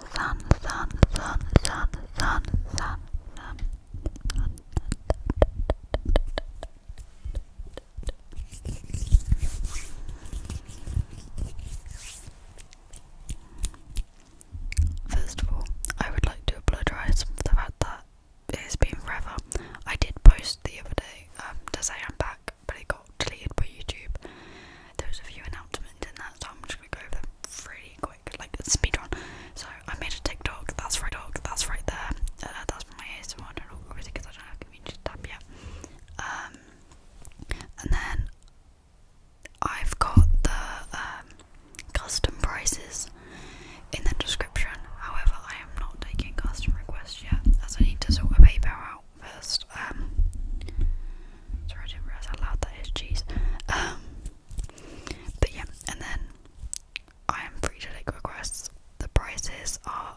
First of all, I would like to apologise for the fact that it's been forever. I did post the other day um, to say I'm back, but it got deleted by YouTube there's a few announcements in that, so I'm just gonna go over them really quick, like speed So I made a TikTok. That's right, dog. That's right there. Uh, that's my ASMR channel, obviously, because I don't have a community tab yet. Um, and then I've got the um, custom prices in the description. However, I am not taking custom requests yet, as I need to sort a PayPal out first. Um, sorry, I did how loud that is. Jeez. Um, but yeah, and then I am free to take requests. The prices are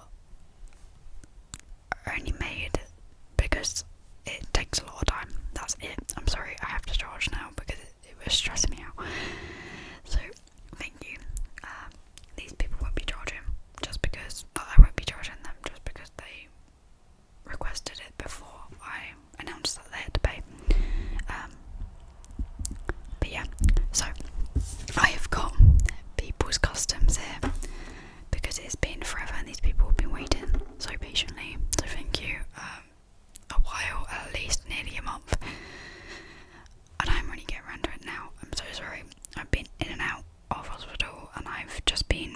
only made because it takes a lot of time. That's it. I'm sorry, I have to charge now because it, was stressing me out. So thank you. Um, these people won't be charging just because well, I won't be charging them just because they requested it before I announced that they had to pay. Um, but yeah, so I have got people's customs here because it's been forever and these people have been waiting so patiently. So thank you. Um, a while, at least nearly a month, and I'm really getting around to it now. I'm so sorry. I've been in and out of hospital, and I've just been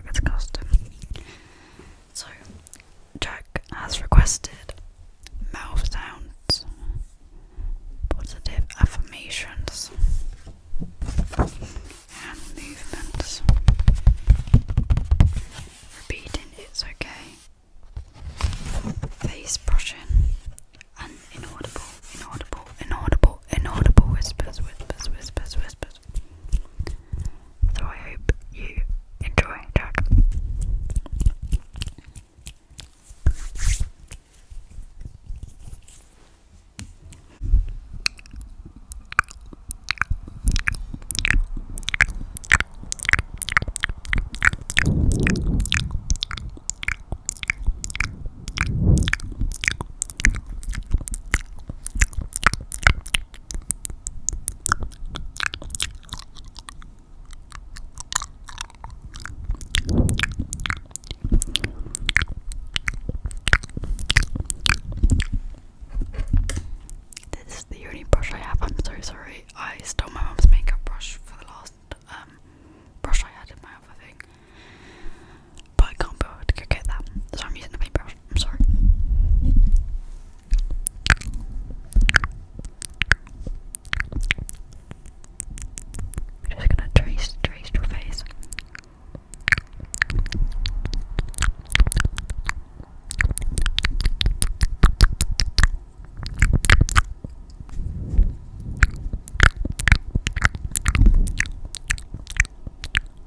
Jacket's costume. So, Jack has requested mouth sounds, positive affirmations, and movements. Repeating it's okay, face brushing, and inaudible, inaudible, inaudible, inaudible whispers, whispers, whispers, whispers. So I hope you enjoy Jack. This is the only brush I have. I'm so sorry. I stole my mom's makeup brush for the last um, brush I had in my other thing. But I can't bother to get that, so I'm using the paintbrush. I'm sorry. I'm just gonna trace, trace your face.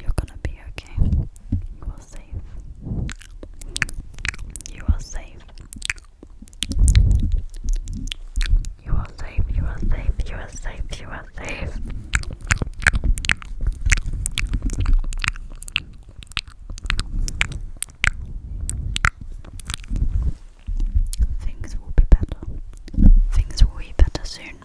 you're gonna be okay. You are safe. You are safe. You are safe, you are safe, you are safe, you are safe. Things will be better. Things will be better soon.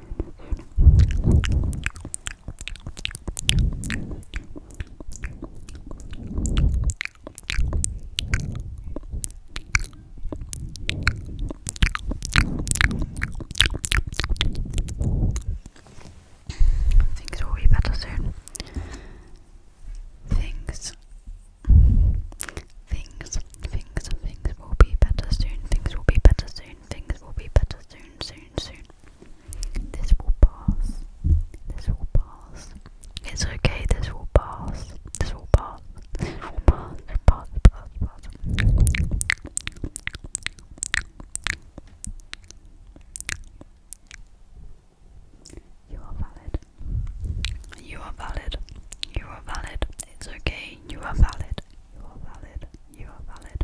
Things will be better soon. Things. Things, things, things will be better soon. Things will be better soon. Things will be better soon, soon, soon, soon. This will pass. This will pass. It's okay, this will pass. This will pass. This will pass. Pass, pass, pass. You are valid. You are valid. You are valid. It's okay. You are valid. You are valid. You are valid.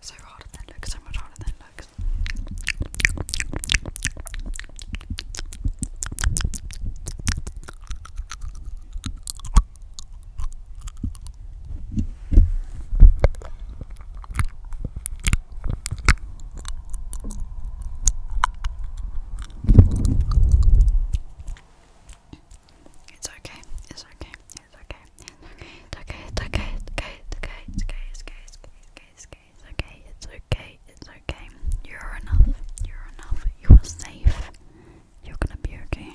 So harder than looks, so much harder than looks. It's okay, it's okay, it's okay. It's okay, it's okay, it's okay, it's okay, it's okay, it's okay, it's okay, it's okay, it's okay, it's okay, it's okay. You're enough, you're enough, you are safe. You're gonna be okay.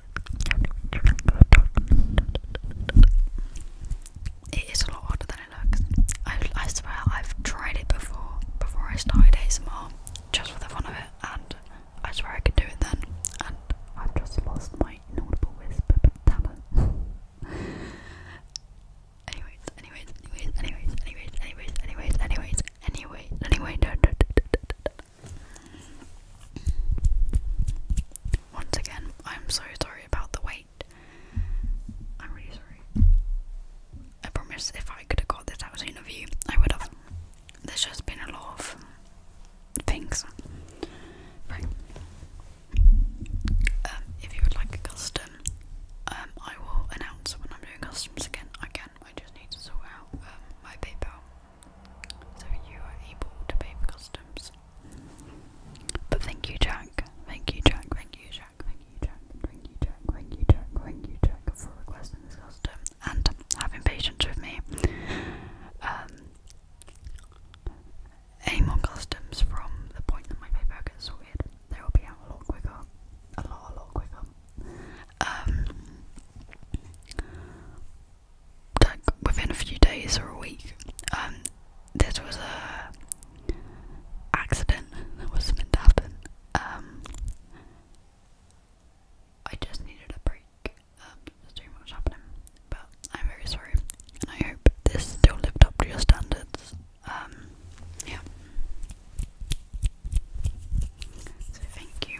It is a lot harder than it looks. I, I swear I've tried it before, before I started ASMR, just for the fun of it, and I swear I could do it then, and I've just lost my inaudible whisper talent. anyways, anyways, anyways, anyways, anyways, anyways, anyways, anyways, anyways, anyway, no, once again, I'm so sorry about the wait. I'm really sorry. I promise if I could have got this out I would have. There's just been a lot of things. Right. Um, if you would like a custom, um, I will announce when I'm doing customs again. Again, I just need to sort out um, my PayPal so you are able to pay for customs. But thank you, Jack. Thank you, Jack. Thank you, Jack. Thank you, Jack. Thank you, Jack. Thank you, Jack. Thank you, Jack, for requesting this custom and having patience with me. Um, any more customs from the point that my paper gets sorted, they will be out a lot quicker. A lot, a lot quicker. Um, like within a few days or a week, um, this was a accident that was not meant to happen. Um, I just needed a break. Um, there's too happening, but I'm very sorry, I hope this still lived up to your standards. Um, yeah. So thank you